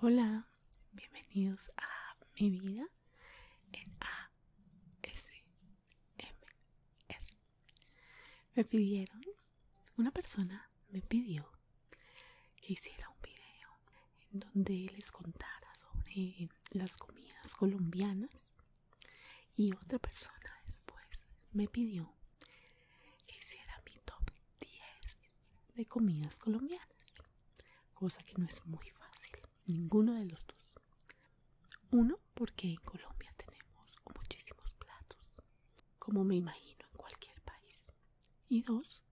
Hola, bienvenidos a mi vida en ASMR. Me pidieron, una persona me pidió que hiciera un video en donde les contara sobre las comidas colombianas y otra persona después me pidió que hiciera mi top 10 de comidas colombianas cosa que no es muy fácil ninguno de los dos uno porque en Colombia tenemos muchísimos platos como me imagino en cualquier país y dos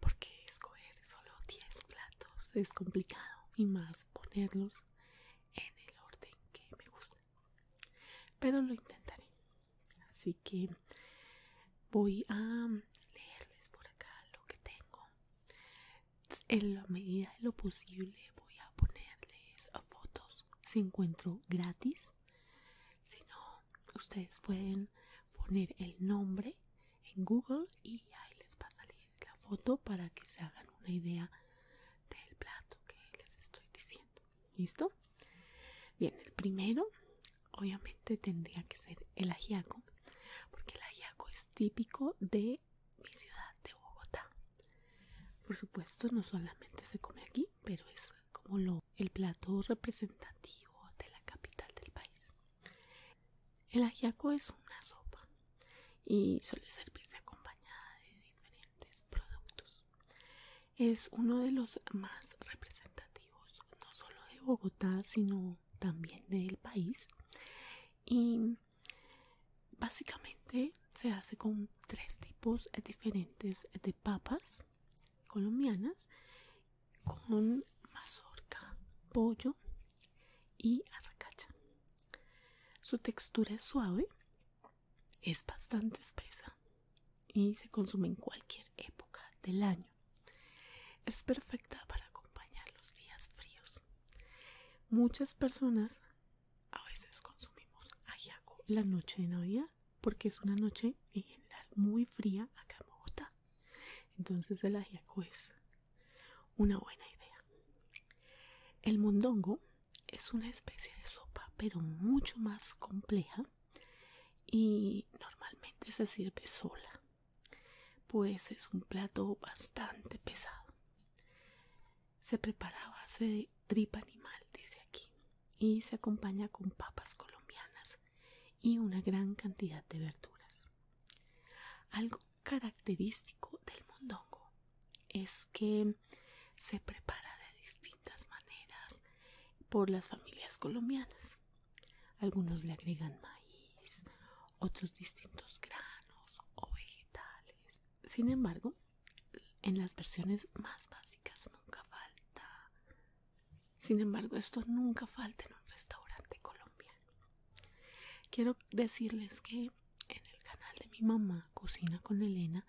porque escoger solo 10 platos es complicado y más ponerlos en el orden que me gusta pero lo intentaré así que voy a leerles por acá lo que tengo en la medida de lo posible voy a ponerles fotos si encuentro gratis si no ustedes pueden poner el nombre en Google y ahí les va a salir la foto para que se hagan una idea del plato que les estoy diciendo. ¿Listo? Bien, el primero obviamente tendría que ser el ajíaco. porque el ajíaco es típico de mi ciudad de Bogotá. Por supuesto, no solamente se come aquí, pero es como lo, el plato representativo de la capital del país. El ajiaco es una sopa y suele servirse acompañada de diferentes productos. Es uno de los más representativos no solo de Bogotá sino también del país y básicamente se hace con tres tipos diferentes de papas colombianas con mazorca, pollo y arracacha. Su textura es suave, es bastante espesa y se consume en cualquier época del año. Es perfecta para acompañar los días fríos. Muchas personas a veces consumimos ajiaco la noche de Navidad porque es una noche en general muy fría acá en Bogotá. Entonces el ajiaco es una buena idea. El mondongo es una especie de sopa, pero mucho más compleja y normalmente se sirve sola, pues es un plato bastante pesado. Se prepara a base tripa animal, dice aquí, y se acompaña con papas colombianas y una gran cantidad de verduras. Algo característico del mondongo es que se prepara de distintas maneras por las familias colombianas. Algunos le agregan maíz, otros distintos granos o vegetales. Sin embargo, en las versiones más básicas nunca falta sin embargo, esto nunca falta en un restaurante colombiano. Quiero decirles que en el canal de mi mamá, Cocina con Elena,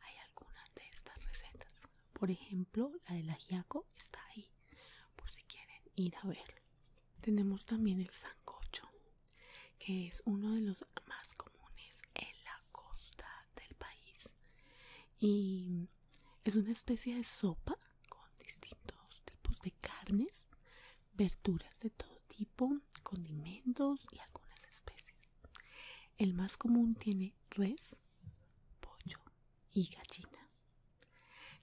hay algunas de estas recetas. Por ejemplo, la del ajiaco está ahí, por si quieren ir a ver. Tenemos también el sancocho, que es uno de los más comunes en la costa del país. Y es una especie de sopa con distintos tipos de carnes, verduras de todo tipo, condimentos y algunas especies. El más común tiene res, pollo y gallina.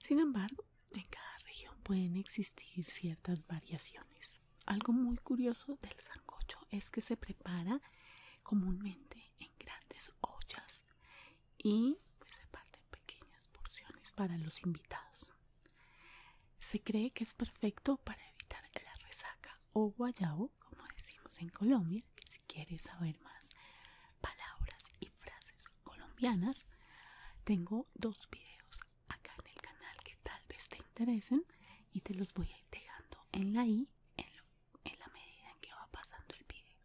Sin embargo, en cada región pueden existir ciertas variaciones. Algo muy curioso del sancocho es que se prepara comúnmente en grandes ollas y pues, se parte en pequeñas porciones para los invitados. Se cree que es perfecto para evitar la resaca o guayabo, como decimos en Colombia, si quieres saber más palabras y frases colombianas, tengo dos videos acá en el canal que tal vez te interesen y te los voy a ir dejando en la i en, en la medida en que va pasando el video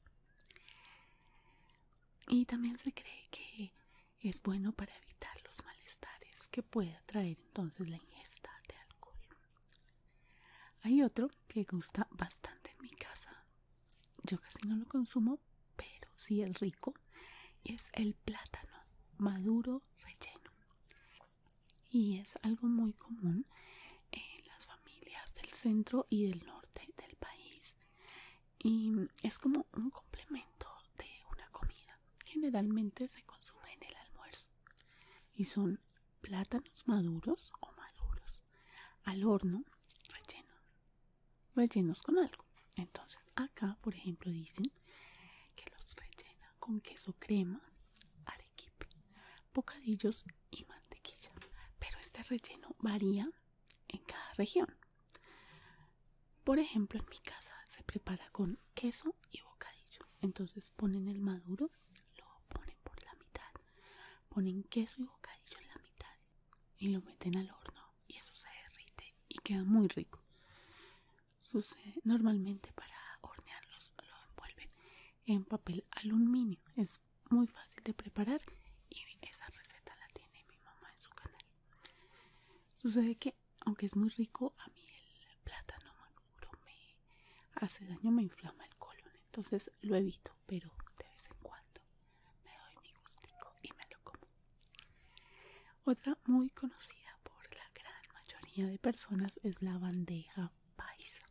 y también se cree que es bueno para evitar los malestares que pueda traer entonces la ingesta de alcohol. Hay otro que gusta bastante en mi casa. Yo casi no lo consumo, pero sí es rico. es el plátano maduro relleno. Y es algo muy común en las familias del centro y del norte del país y es como un complemento de una comida. Generalmente se consume en el almuerzo y son plátanos maduros o maduros al horno rellenos rellenos con algo. Entonces acá, por ejemplo, dicen que los rellena con queso crema, arequipe, bocadillos y mantequilla. Pero este relleno varía en cada región. Por ejemplo, en mi casa se prepara con queso y bocadillo. Entonces ponen el maduro, lo ponen por la mitad, ponen queso y bocadillo en la mitad y lo meten al horno y eso se derrite y queda muy rico. normalmente para hornearlos lo envuelven en papel aluminio muy fácil de preparar y esa receta la tiene mi mamá en su canal. Sucede que aunque es muy rico, a mí el plátano maduro me hace daño, me inflama el colon, entonces lo evito, pero de vez en cuando me doy mi gustico y me lo como. Otra muy conocida por la gran mayoría de personas es la bandeja paisa,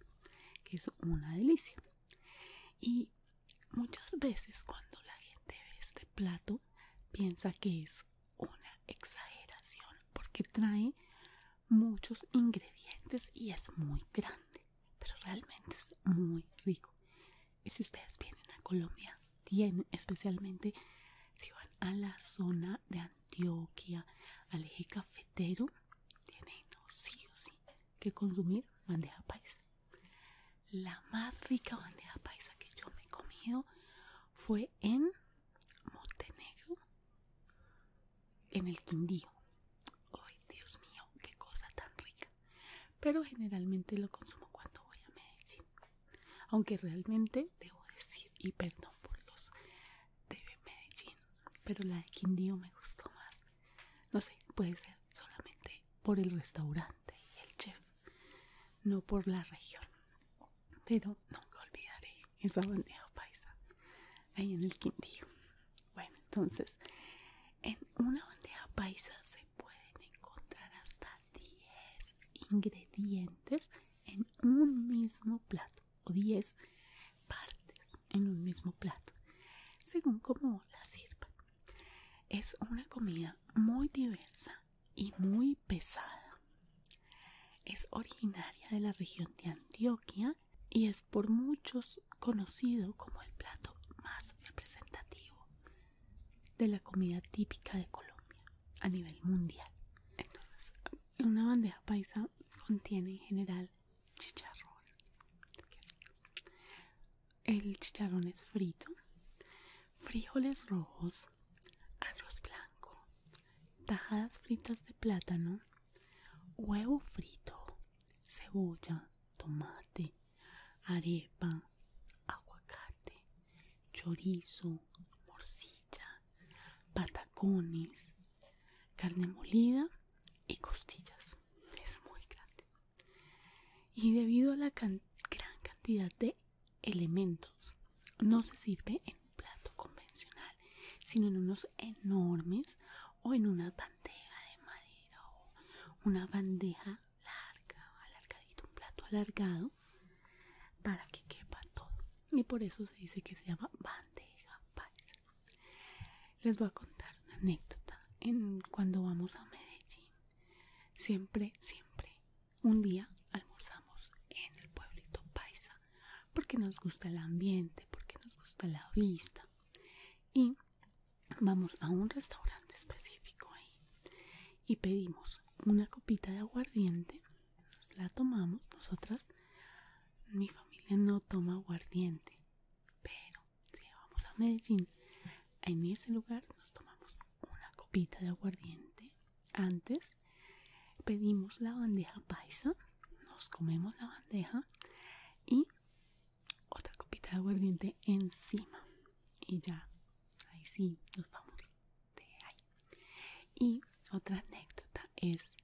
que es una delicia. Y Muchas veces cuando la gente ve este plato piensa que es una exageración porque trae muchos ingredientes y es muy grande, pero realmente es muy rico. Y si ustedes vienen a Colombia, tienen especialmente si van a la zona de Antioquia, al eje cafetero, tienen sí o sí que consumir bandeja paisa. La más rica bandera paisa que yo me he comido fue en Montenegro, en el Quindío. Ay, Dios mío, qué cosa tan rica. Pero generalmente lo consumo cuando voy a Medellín. Aunque realmente debo decir, y perdón por los de Medellín, pero la de Quindío me gustó más. No sé, puede ser solamente por el restaurante y el chef, no por la región. Pero nunca olvidaré esa bandeja paisa ahí en el Quindío. Bueno, entonces, en una bandeja paisa se pueden encontrar hasta 10 ingredientes en un mismo plato o 10 partes en un mismo plato, según como la sirvan. Es una comida muy diversa y muy pesada. Es originaria de la región de Antioquia y es por muchos conocido como el plato más representativo de la comida típica de Colombia a nivel mundial. Entonces, una bandeja paisa contiene en general chicharrón, el chicharrón es frito, frijoles rojos, arroz blanco, tajadas fritas de plátano, huevo frito, cebolla, tomate, arepa, aguacate, chorizo, morcilla, patacones, carne molida y costillas. Es muy grande y debido a la gran cantidad de elementos no se sirve en un plato convencional sino en unos enormes o en una bandeja de madera o una bandeja larga alargadito un plato alargado para que quepa todo y por eso se dice que se llama bandeja paisa les voy a contar una anécdota cuando vamos a Medellín siempre siempre un día almorzamos en el pueblito paisa porque nos gusta el ambiente porque nos gusta la vista y vamos a un restaurante específico ahí y pedimos una copita de aguardiente nos la tomamos nosotras mi familia no toma aguardiente pero si vamos a Medellín, en ese lugar nos tomamos una copita de aguardiente. Antes pedimos la bandeja paisa, nos comemos la bandeja y otra copita de aguardiente encima. Y ya, ahí sí, nos vamos de ahí. Y otra anécdota es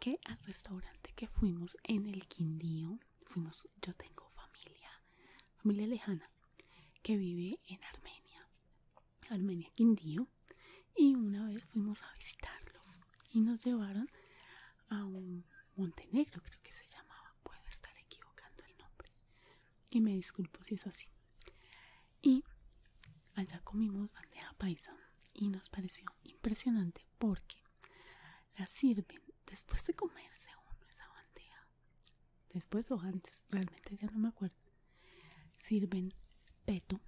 que al restaurante que fuimos en el Quindío, fuimos, yo tengo familia, familia lejana que vive en Armenia, Armenia Quindío, y una vez fuimos a visitarlos y nos llevaron a un Montenegro, creo que se llamaba, puedo estar equivocando el nombre, y me disculpo si es así. Y allá comimos bandeja paisa y nos pareció impresionante porque la sirven después de comerse uno esa bandeja después o antes realmente ya no me acuerdo sirven peto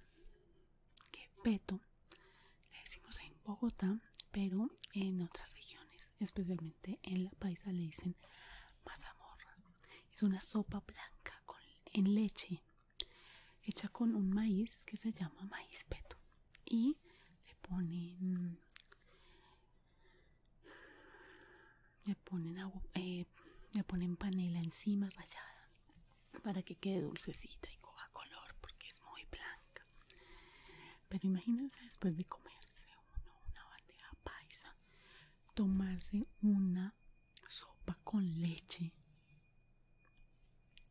que peto le decimos en Bogotá pero en otras regiones especialmente en la paisa le dicen mazamorra es una sopa blanca con, en leche hecha con un maíz que se llama maíz peto y le ponen le ponen eh, le ponen panela encima rallada para que quede dulcecita y coja color porque es muy blanca pero imagínense después de comerse una bandeja paisa tomarse una sopa con leche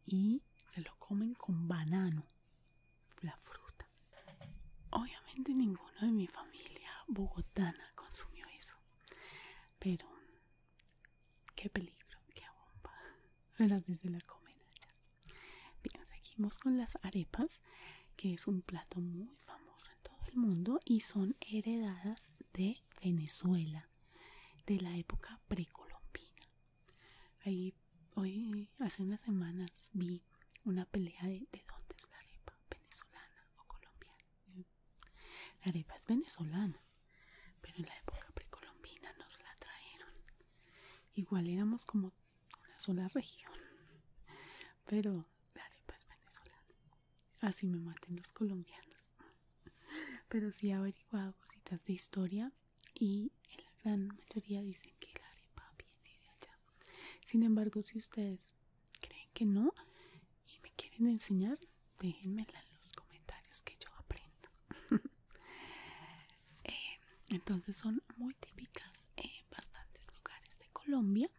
y se lo comen con banano la fruta. Obviamente ninguno de mi familia bogotana consumió eso. Pero qué peligro, qué bomba. Pero así se la comen allá. Bien, seguimos con las arepas, que es un plato muy famoso en todo el mundo y son heredadas de Venezuela, de la época precolombina. Ahí, hoy, hace unas semanas, vi una pelea de, dónde es la arepa, venezolana o colombiana. La arepa es venezolana, pero en la época precolombina nos la trajeron. Igual éramos como una sola región, pero la arepa es venezolana. Así me maten los colombianos. Pero sí he averiguado cositas de historia y en la gran mayoría dicen que la arepa viene de allá. Sin embargo, si ustedes creen que no y me quieren enseñar, déjenmela en los comentarios que yo aprendo. Eh, entonces son muy típicas en bastantes lugares de Colombia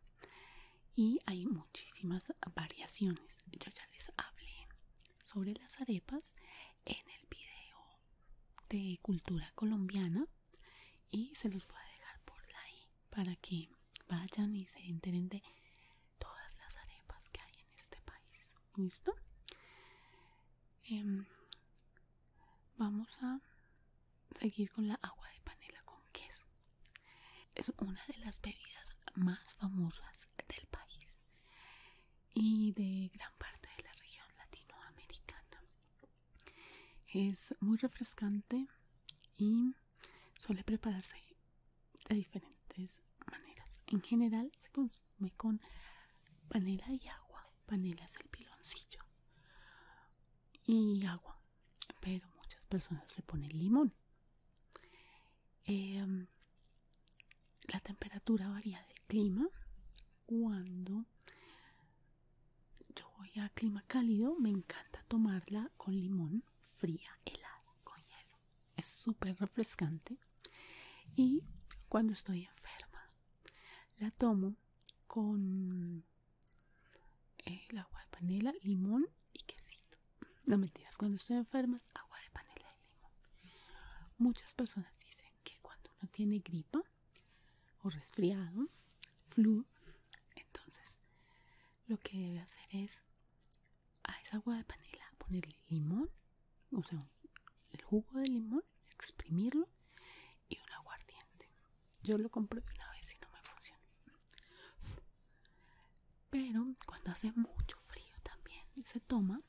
y hay muchísimas variaciones. Yo ya les hablé sobre las arepas en el video de cultura colombiana y se los voy a dejar por ahí para que vayan y se enteren de todas las arepas que hay en este país listo em, vamos a seguir con la agua de panela con queso es una de las bebidas más famosas del país y de gran parte de la región latinoamericana es muy refrescante y suele prepararse de diferentes maneras. En general se consume con panela y agua. Panela es el piloncillo y agua, pero muchas personas le ponen limón. Em, la temperatura varía del clima. Cuando yo voy a clima cálido, me encanta tomarla con limón, fría, helada, con hielo. Es súper refrescante. Y cuando estoy enferma, la tomo con eh, el agua de panela, limón y quesito. No mentiras, cuando estoy enferma, agua de panela y limón. Muchas personas dicen que cuando uno tiene gripa, o resfriado, flu, entonces lo que debe hacer es a esa agua de panela ponerle limón, o sea, el jugo de limón, exprimirlo y un aguardiente. Yo lo compré una vez y no me funcionó. Pero cuando hace mucho frío también se toma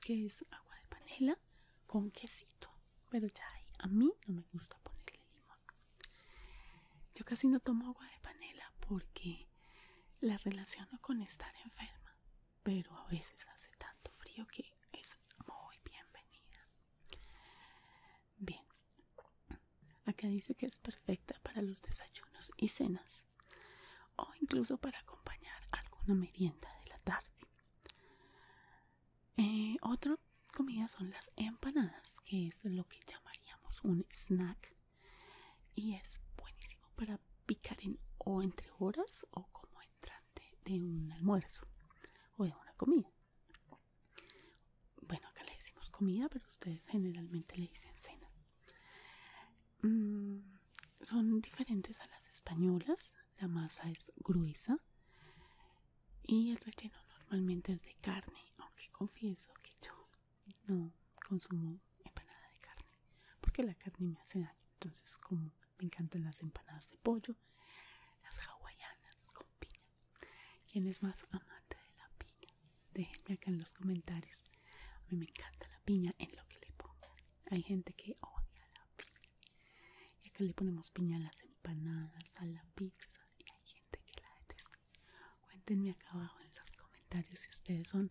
que es agua de panela con quesito pero ya a mí no me gusta ponerle limón yo casi no tomo agua de panela porque la relaciono con estar enferma pero a veces hace tanto frío que es muy bienvenida bien acá dice que es perfecta para los desayunos y cenas o incluso para acompañar alguna merienda de la tarde eh, otra comida son las empanadas, que es lo que llamaríamos un snack y es buenísimo para picar en o entre horas o como entrante de un almuerzo o de una comida. Bueno, acá le decimos comida, pero ustedes generalmente le dicen cena. Mm, son diferentes a las españolas la masa es gruesa y el relleno normalmente es de carne, aunque confieso que yo no consumo empanada de carne porque la carne me hace daño. Entonces, como me encantan las empanadas de pollo, las hawaianas con piña. ¿Quién es más amante de la piña? Déjenme acá en los comentarios. A mí me encanta la piña en lo que le ponga. Hay gente que odia la y acá le ponemos piña a las empanadas, a la pizza y hay gente que la detesta. Cuéntenme acá abajo en los comentarios si ustedes son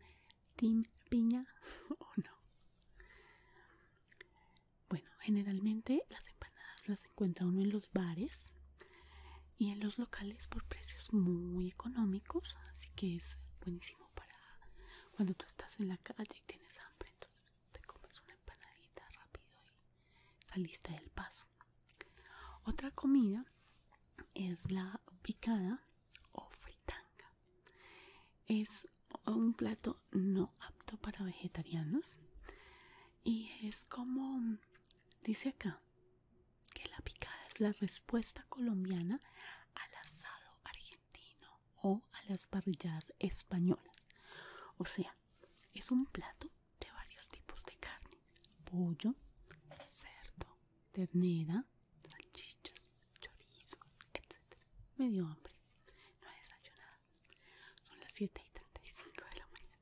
team piña o no. Bueno, generalmente las empanadas las encuentra uno en los bares y en los locales por precios muy económicos, así que es buenísimo para cuando tú estás en la calle y tienes hambre, entonces te comes una empanadita rápido y saliste del paso. Otra comida es la picada o fritanga. Es un plato no apto para vegetarianos y es como dice acá que la picada es la respuesta colombiana al asado argentino o a las parrilladas españolas. O sea, es un plato de varios tipos de carne. Pollo, cerdo, ternera, salchichas, chorizo, etc. Me dio hambre. No he desayunado. Son las 7 y 35 de la mañana.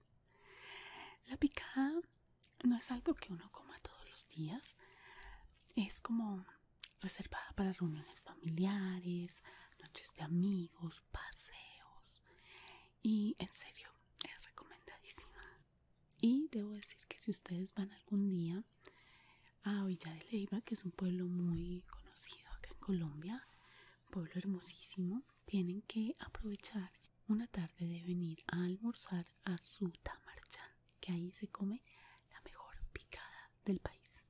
La picada no es algo que uno coma todos los días. Es como reservada para reuniones familiares, noches de amigos, paseos y en serio es recomendadísima. Y debo decir que si ustedes van algún día a Villa de Leiva, que es un pueblo muy conocido acá en Colombia, pueblo hermosísimo, tienen que aprovechar una tarde de venir a almorzar a su tamarchán, que ahí se come la mejor picada del país.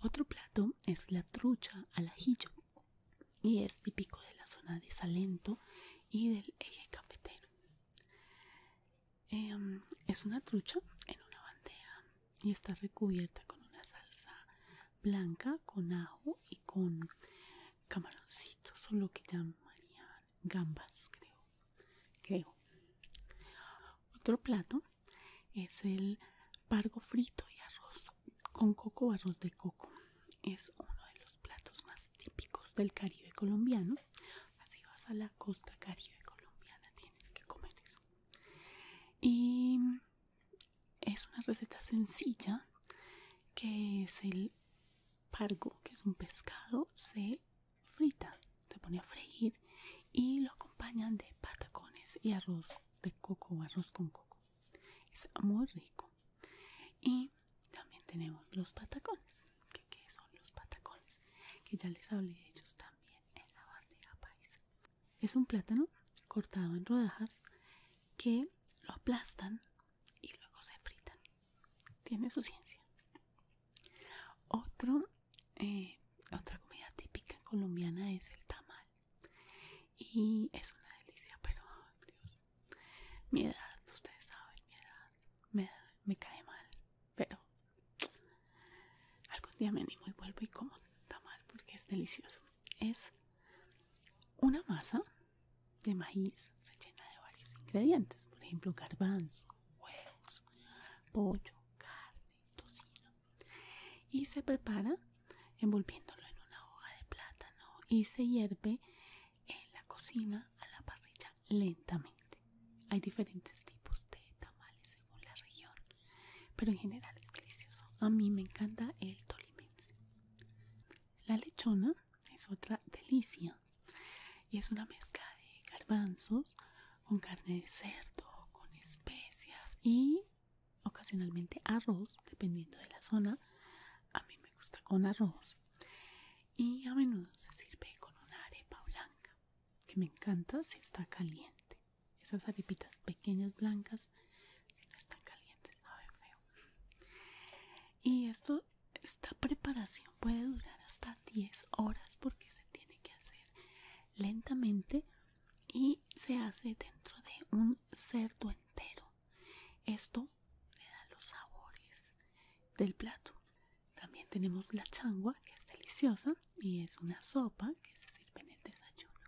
Otro plato es la trucha al ajillo y es típico de la zona de Salento y del eje cafetero. Em, es una trucha en una bandeja y está recubierta con una salsa blanca con ajo y con camaroncitos o lo que llamarían gambas creo creo otro plato es el pargo frito y arroz con coco arroz de coco. Es uno de los platos más típicos del Caribe colombiano. Así vas a la costa Caribe colombiana, tienes que comer eso. Y es una receta sencilla que es el pargo, que es un pescado, se frita, se pone a freír y lo acompañan de patacones y arroz de coco o arroz con coco. Es muy rico. Y también tenemos los patacones. que son los patacones? Que ya les hablé de ellos también en la bandeja paisa. Es un plátano cortado en rodajas que lo aplastan y luego se fritan. Tiene su ciencia. Otro, eh, otra comida típica colombiana es el tamal. Y es una delicia, pero Dios, mi edad, ustedes saben, mi edad me, me cae mal, pero algún día me animo y vuelvo y como tamal porque es delicioso. Es una masa de maíz rellena de varios ingredientes, por ejemplo garbanzo, huevos, pollo, carne, y se prepara envolviéndolo en una hoja de plátano y se hierve en la cocina a la parrilla lentamente. Hay diferentes tipos de tamales según la región, pero en general es delicioso. A mí me encanta el tolimense. La lechona es otra delicia y es una mezcla de garbanzos con carne de cerdo, con especias y ocasionalmente arroz, dependiendo de la zona. A mí me gusta con arroz. Y a menudo se sirve con una arepa blanca, que me encanta si está caliente. Esas arepitas pequeñas blancas, si no están calientes, saben feo. Y esto, esta preparación puede durar hasta 10 horas porque se tiene que hacer lentamente y se hace dentro de un cerdo entero. Esto le da los sabores del plato. También tenemos la changua, que es deliciosa y es una sopa que se sirve en el desayuno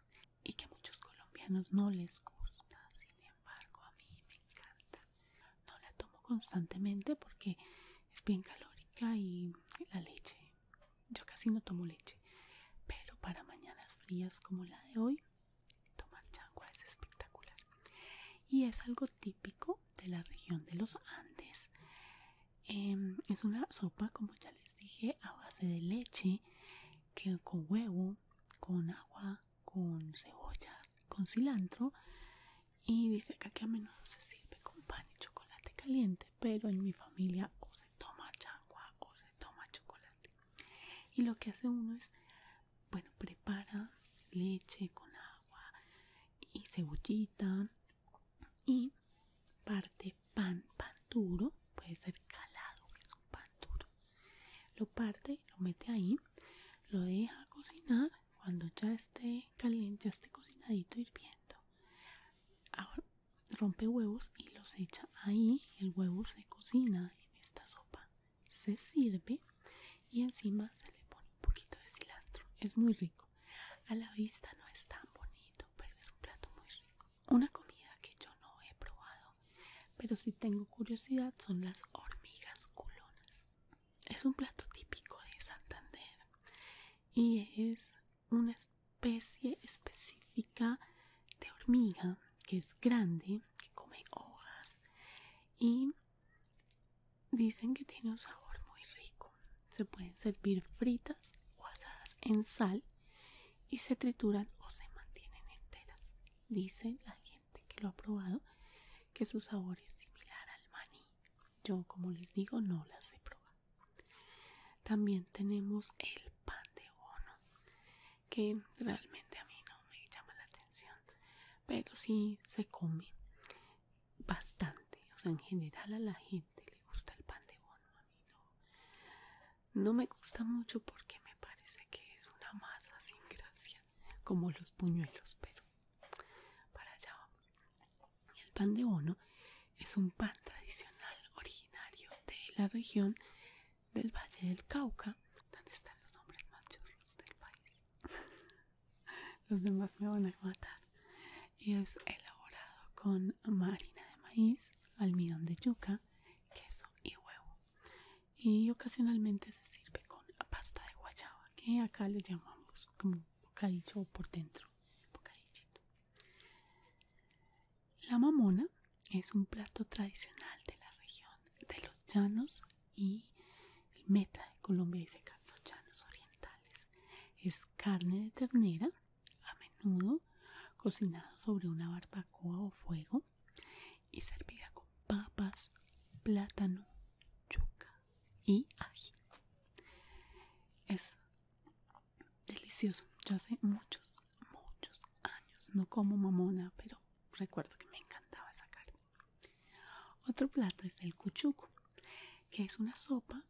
y que a muchos colombianos no les gusta. Sin embargo, a mí me encanta. No la tomo constantemente porque es bien calórica y la leche yo casi no tomo leche, pero para mañanas frías como la de hoy, tomar changua es espectacular. Y es algo típico de la región de los Andes. Em, es una sopa, como ya les dije, a base de leche, que con huevo, con agua, con cebolla, con cilantro y dice acá que a menudo se sirve con pan y chocolate caliente pero en mi familia o se toma changua o se toma chocolate y lo que hace uno es bueno prepara leche con agua y cebollita y parte pan pan duro puede ser calado que es un pan duro lo parte lo mete ahí lo deja cocinar cuando ya esté caliente ya esté cocinadito hirviendo rompe huevos y los echa ahí. El huevo se cocina en esta sopa, se sirve y encima se le pone un poquito de cilantro. Es muy rico. A la vista no es tan bonito, pero es un plato muy rico. Una comida que yo no he probado, pero si tengo curiosidad son las hormigas culonas. Es un plato típico de Santander y es una especie específica de hormiga que es grande, que come hojas y dicen que tiene un sabor muy rico. Se pueden servir fritas o asadas en sal y se trituran o se mantienen enteras. Dice la gente que lo ha probado que su sabor es similar al maní. Yo, como les digo, no las he probado. También tenemos el pan de bono, que realmente a mí no me llama la atención, pero sí se come bastante. O sea, en general a la gente le gusta el pan de bono, a mí no. No me gusta mucho porque me parece que es una masa sin gracia, como los puñuelos, pero para allá el pan de bono es un pan tradicional originario de la región del Valle del Cauca, donde están los hombres más del país. los demás me van a matar. Y es elaborado con harina de maíz, almidón de yuca, queso y huevo. Y ocasionalmente se sirve con pasta de guayaba, que acá le llamamos como bocadillo por dentro. La mamona es un plato tradicional de la región de los llanos y meta de Colombia dice que los llanos orientales. Es carne de ternera, a menudo cocinada sobre una barbacoa o fuego y servida con papas, plátano, yuca, y Es delicioso. Yo hace muchos, muchos años no como mamona, pero recuerdo que me encantaba esa carne. Otro plato es el cuchuco, que es una sopa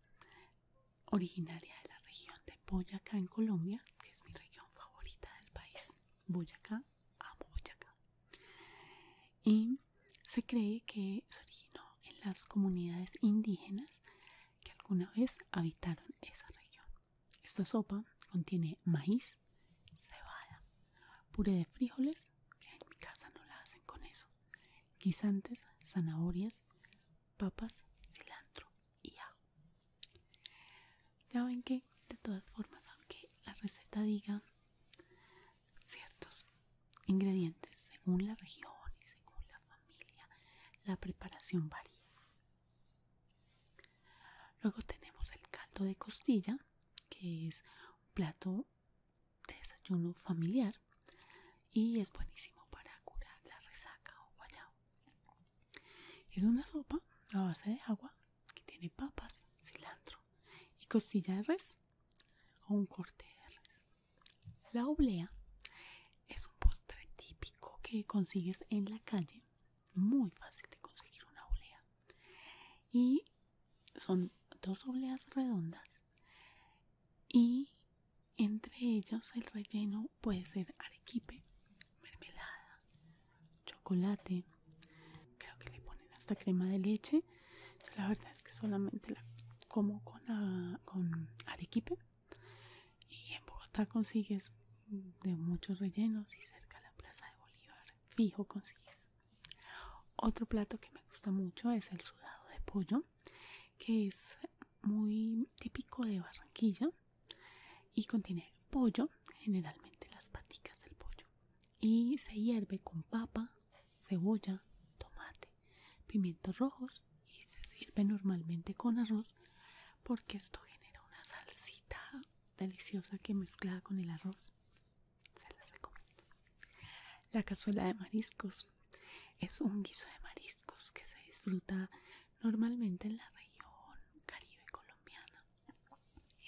originaria de la región de Boyacá en Colombia, que es mi región favorita del país. Boyacá, amo Boyacá. Y se cree que se originó en las comunidades indígenas que alguna vez habitaron esa región. Esta sopa contiene maíz, cebada, puré de frijoles, que en mi casa no la hacen con eso, guisantes, zanahorias, papas, cilantro y ajo. Ya ven que de todas formas, aunque la receta diga ciertos ingredientes según la región y según la familia la preparación varía luego tenemos el caldo de costilla que es un plato de desayuno familiar y es buenísimo para curar la resaca o guayao es una sopa a base de agua que tiene papas cilantro y costilla de res o un corte de res la oblea es un postre típico que consigues en la calle. Muy fácil de conseguir una oblea. Y son dos obleas redondas. Y entre ellos el relleno puede ser arequipe, mermelada, chocolate. Creo que le ponen hasta crema de leche la verdad es que solamente la como con, ah, con arequipe y en Bogotá consigues de muchos rellenos y cerca de la plaza de Bolívar fijo consigues. Otro plato que me gusta mucho es el sudado de pollo que es muy típico de Barranquilla y contiene pollo, generalmente las paticas del pollo y se hierve con papa, cebolla, tomate, pimientos rojos y se sirve normalmente con arroz porque esto genera una salsita deliciosa que mezclada con el arroz se las recomiendo la cazuela de mariscos es un guiso de mariscos que se disfruta normalmente en la región caribe colombiana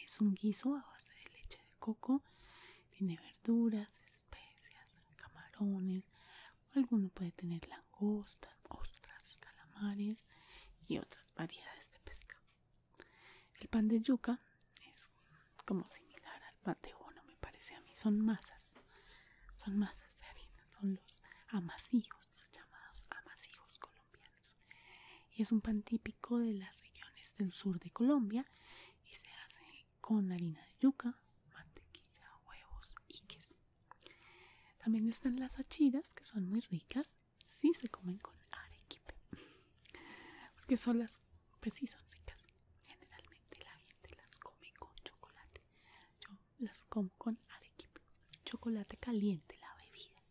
es un guiso a base de leche de coco tiene verduras, especias, camarones, alguno puede tener langostas, ostras, calamares y otras variedades de pesca. El pan de yuca es como similar al pan de me parece a mí, son masas, son masas de harina, son los amasijos, llamados amasijos colombianos. Y es un pan típico de las regiones del sur de Colombia y se hace con harina de yuca, mantequilla, huevos y queso. También están las achiras que son muy ricas si se comen con arequipe, porque son las, pues sí son ricas. Generalmente la gente las come con chocolate. Yo las como con arequipe, chocolate caliente la bebida.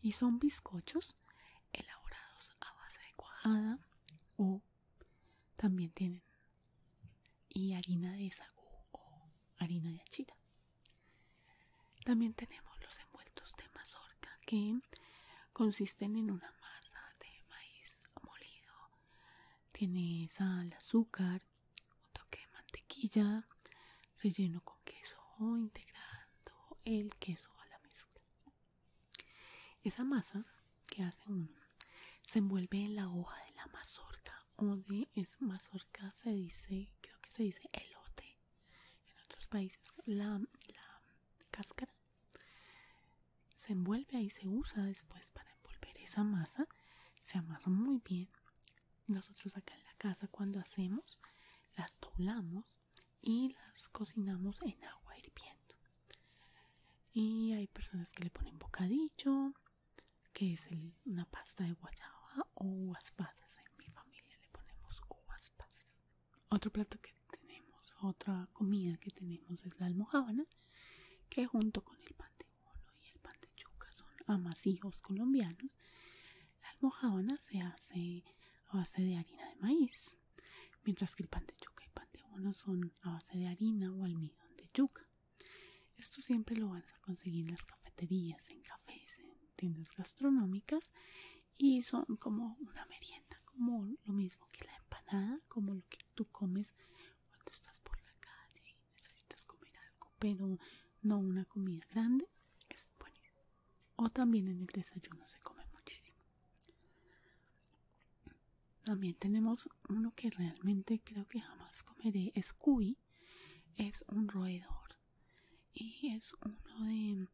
Y son bizcochos elaborados a base de cuajada o también tienen. Y harina de sagú o harina de achira. También tenemos los envueltos de mazorca que consisten en una masa de maíz molido. Tiene sal, azúcar, un toque de mantequilla, relleno con queso o integrando el queso a la mezcla. Esa masa que hace uno se envuelve en la hoja de la mazorca o de es mazorca se dice, creo que se dice elote en otros países. La, la cáscara se envuelve ahí, se usa después para envolver esa masa, se amarra muy bien. Nosotros acá en la casa cuando hacemos las doblamos y las cocinamos en agua hirviendo y hay personas que le ponen bocadillo que es una pasta de guayaba o uvas en mi familia le ponemos uvas otro plato que tenemos otra comida que tenemos es la almojábana que junto con el pan de bono y el pan de yuca son amasijos colombianos la almojábana se hace a base de harina de maíz mientras que el pan de yuca y pan de bono son a base de harina o almidón de yuca. Esto siempre lo vas a conseguir en las cafeterías, en cafés, en tiendas gastronómicas y son como una merienda, como lo mismo que la empanada, como lo que tú comes cuando estás por la calle y necesitas comer algo, pero no una comida grande. Es bueno O también en el desayuno se come muchísimo. También tenemos uno que realmente creo que jamás comeré. Es cuy. Es un roedor. Y es uno de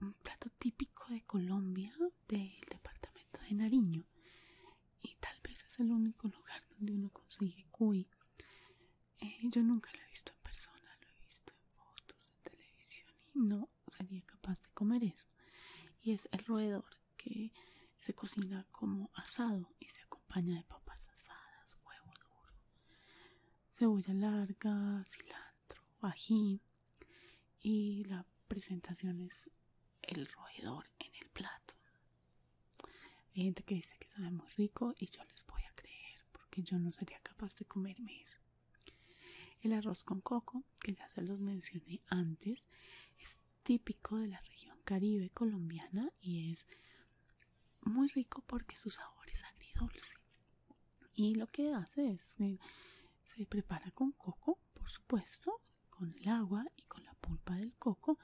un plato típico de Colombia, del departamento de Nariño. Y tal vez es el único lugar donde uno consigue cuy. Eh, yo nunca lo he visto en persona, lo he visto en fotos, en televisión y no sería capaz de comer eso. Y es el roedor que se cocina como asado y se acompaña de papas asadas, huevo duro, cebolla larga, cilantro, ají. Y la presentación es el roedor en el plato. Hay gente que dice que sabe muy rico y yo les voy a creer porque yo no sería capaz de comerme eso. El arroz con coco que ya se los mencioné antes, es típico de la región caribe colombiana y es muy rico porque su sabor es agridulce. Y lo que hace es que se prepara con coco, por supuesto, con el agua y con la pulpa del coco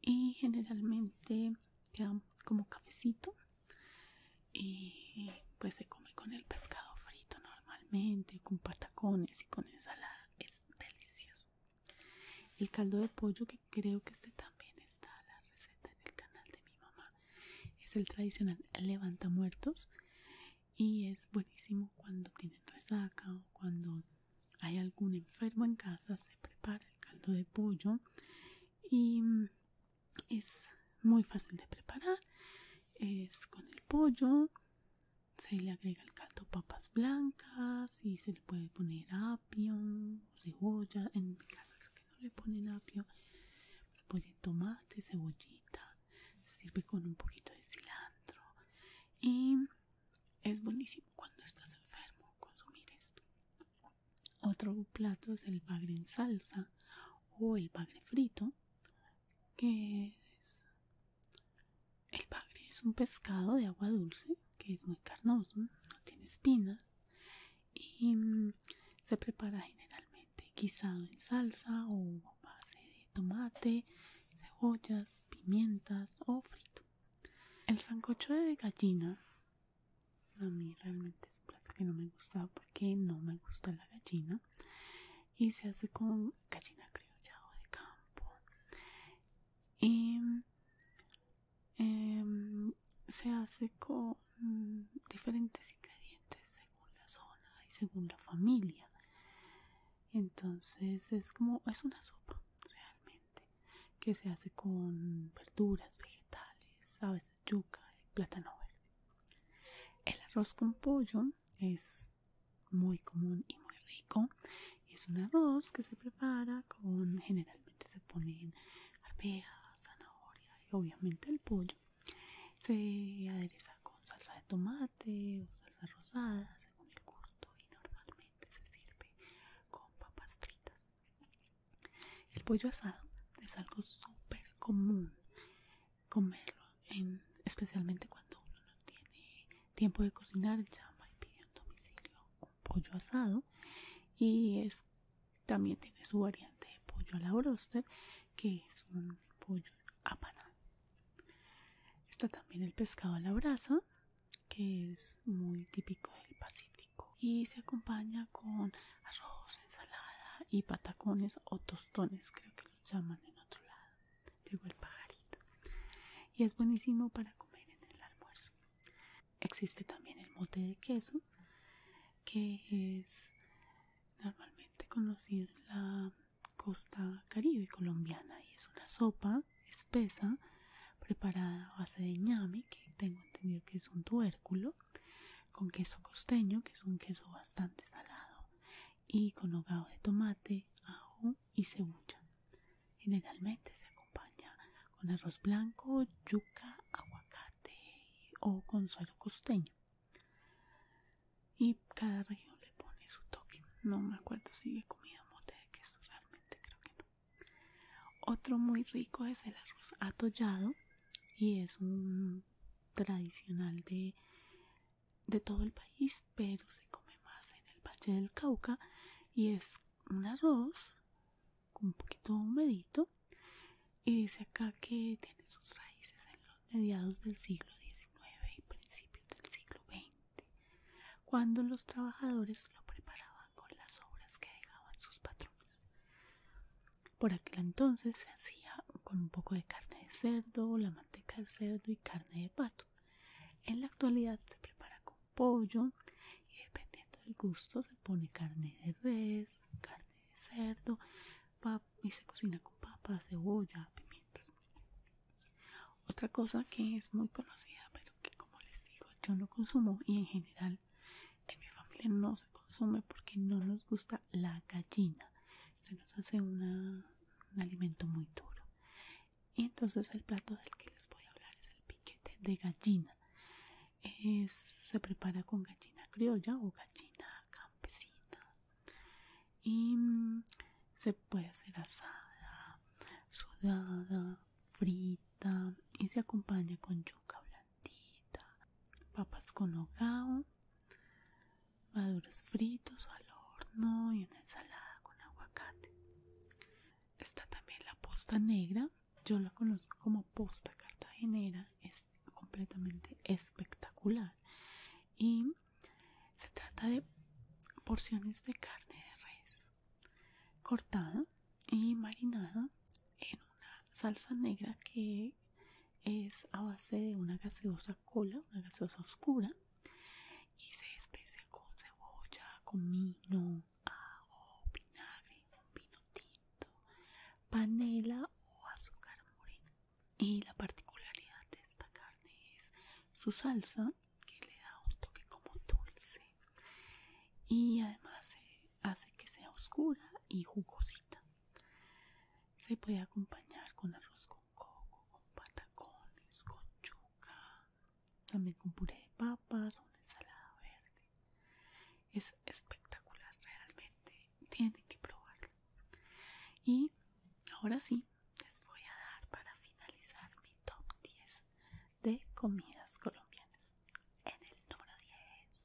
y generalmente queda como cafecito y pues se come con el pescado frito, ¿no? normalmente con patacones y con ensalada es delicioso el caldo de pollo que creo que este también está la receta en el canal de mi mamá es el tradicional levanta muertos y es buenísimo cuando tienen resaca o cuando hay algún enfermo en casa se prepara el caldo de pollo y mm, es muy fácil de preparar es con el pollo se le agrega el canto papas blancas y se le puede poner apio cebolla. En mi casa creo que no le ponen apio. Se pone tomate, cebollita. Se sirve con un poquito de cilantro. Y es buenísimo cuando estás enfermo consumir esto. Otro plato es el bagre en salsa o el bagre frito, que es el bagre es un pescado de agua dulce que es muy carnoso, no tiene espinas y mm, se prepara generalmente guisado en salsa o base de tomate, cebollas, pimientas o frito. El sancocho de gallina a mí realmente es un plato que no me gusta porque no me gusta la gallina y se hace con gallina criollado de campo y em, se hace con diferentes ingredientes según la zona y según la familia entonces es como es una sopa realmente que se hace con verduras vegetales a veces yuca y plátano verde el arroz con pollo es muy común y muy rico. Es un arroz que se prepara con, generalmente se ponen arvejas, zanahoria y obviamente el pollo. Se adereza con salsa de tomate o salsa rosada según el gusto y normalmente se sirve con papas fritas. El pollo asado es algo súper común comerlo, especialmente cuando uno no tiene tiempo de cocinar, llama y pide un domicilio un pollo asado y también tiene su variante de pollo a la bróster, que es un pollo apanado. Está también el pescado a la brasa que es muy típico del Pacífico y se acompaña con arroz, ensalada y patacones o tostones creo que los llaman en otro lado llegó el pajarito y es buenísimo para comer en el almuerzo. Existe también el mote de queso que es normalmente conocido en la costa caribe colombiana y es una sopa espesa preparada a base de ñame que tengo entendido que es un tubérculo con queso costeño que es un queso bastante salado y con hogado de tomate, ajo y cebolla. Generalmente se acompaña con arroz blanco, yuca, aguacate o con suero costeño. Y cada región le pone su toque. No me acuerdo si he comido mote de queso, realmente creo que no. Otro muy rico es el arroz atollado y es un tradicional de de todo el país, pero se come más en el Valle del Cauca y es un arroz un poquito humedito y dice acá que tiene sus raíces en los mediados del siglo XIX y principios del siglo XX, cuando los trabajadores lo preparaban con las obras que dejaban sus patrones. Por aquel entonces se hacía con un poco de carne de cerdo, la de cerdo y carne de pato. En la actualidad se prepara con pollo y dependiendo del gusto se pone carne de res, carne de cerdo y se cocina con papas, cebolla, pimientos. Otra cosa que es muy conocida pero que como les digo yo no consumo y en general en mi familia no se consume porque no nos gusta la gallina. Se nos hace una un alimento muy duro. Entonces el plato del que les voy a hablar es el piquete de gallina. se prepara con gallina criolla o gallina campesina. Y mm, se puede hacer asada, sudada, frita y se acompaña con yuca blandita, papas con hogao, maduros fritos al horno y una ensalada con aguacate. Está también la posta negra, yo la conozco como posta cartagenera, es completamente espectacular y se trata de porciones de carne de res cortada y marinada en una salsa negra que es a base de una gaseosa cola, una gaseosa oscura y se especia con cebolla, comino, ajo, vinagre, un vino tinto, panela o azúcar morena. Y la particularidad de esta carne es su salsa que le da un toque como dulce y además hace que sea oscura y jugosita. Se puede acompañar con arroz con coco, con patacones, con chuca, también con puré de papas, una ensalada verde. Es espectacular, realmente tienen que probarlo. Y ahora sí, les voy a dar para finalizar mi top 10 de comidas colombianas. En el número 10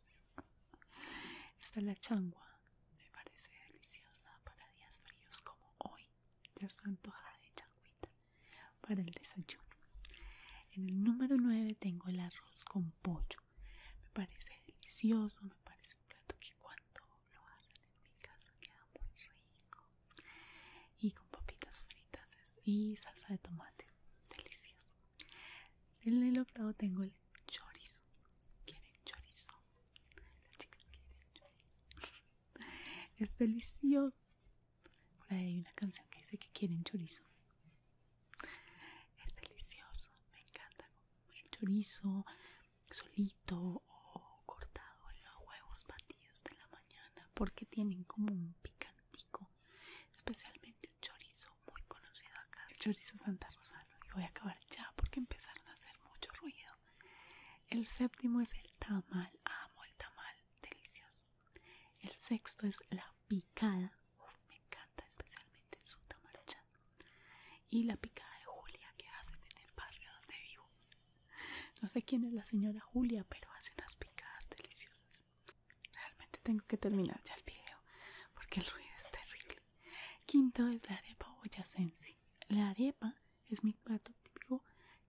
está la changua me parece deliciosa para días fríos como hoy. Ya estoy antojada de chagüita para el desayuno. En el número 9 tengo el arroz con pollo. Me parece delicioso, me parece un plato que cuando lo hacen en mi casa queda muy rico. Y con papitas fritas y salsa de tomate. Delicioso. En el octavo tengo el chorizo. ¿Quieren chorizo? Es delicioso. hay una canción que dice que quieren chorizo. Es delicioso, me encanta. El chorizo solito o cortado en los huevos batidos de la mañana porque tienen como un picantico. Especialmente un chorizo muy conocido acá, el chorizo Santa Rosa y voy a acabar ya porque empezaron a hacer mucho ruido. El séptimo es el tamal, amo el tamal, delicioso. El sexto es la picada, me encanta especialmente su tamalcha. Y la picada de Julia que hacen en el barrio donde vivo. No sé quién es la señora Julia, pero hace unas picadas deliciosas. Realmente tengo que terminar ya el video porque el ruido es terrible. Quinto es la arepa boyacense. La arepa es mi plato típico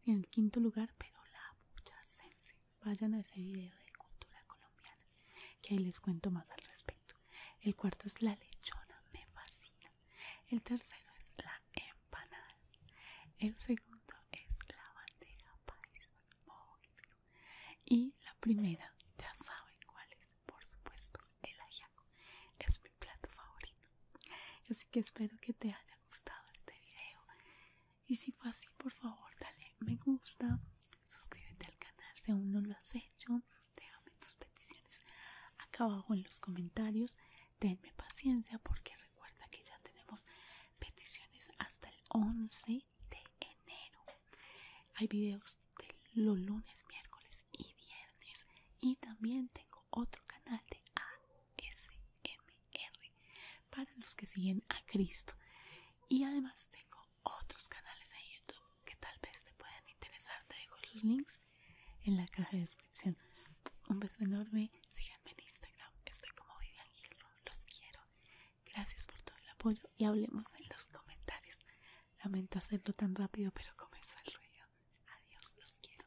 en el quinto lugar, pero la boyacense. Vayan a ese video de cultura colombiana, que ahí les cuento más al respecto. El cuarto es la lechona, me fascina. El tercero es la empanada. El segundo es la bandeja paisa, y la primera, ya saben cuál es, por supuesto el ajiaco es mi plato favorito así que espero que te haya gustado este video y si fue así por favor dale me gusta suscríbete al canal si aún no lo has hecho déjame tus peticiones acá abajo en los comentarios Denme paciencia porque recuerda que ya tenemos peticiones hasta el 11 de enero hay videos de los lunes miércoles y viernes y también tengo otro canal de ASMR para los que siguen a Cristo y además tengo otros canales en YouTube que tal vez te puedan interesar te dejo los links en la caja de descripción un beso enorme síganme en Instagram estoy como Vivian y los quiero gracias por todo el apoyo y hablemos en los comentarios Lamento hacerlo tan rápido, pero comenzó el ruido. Adiós, los quiero.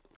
Chao.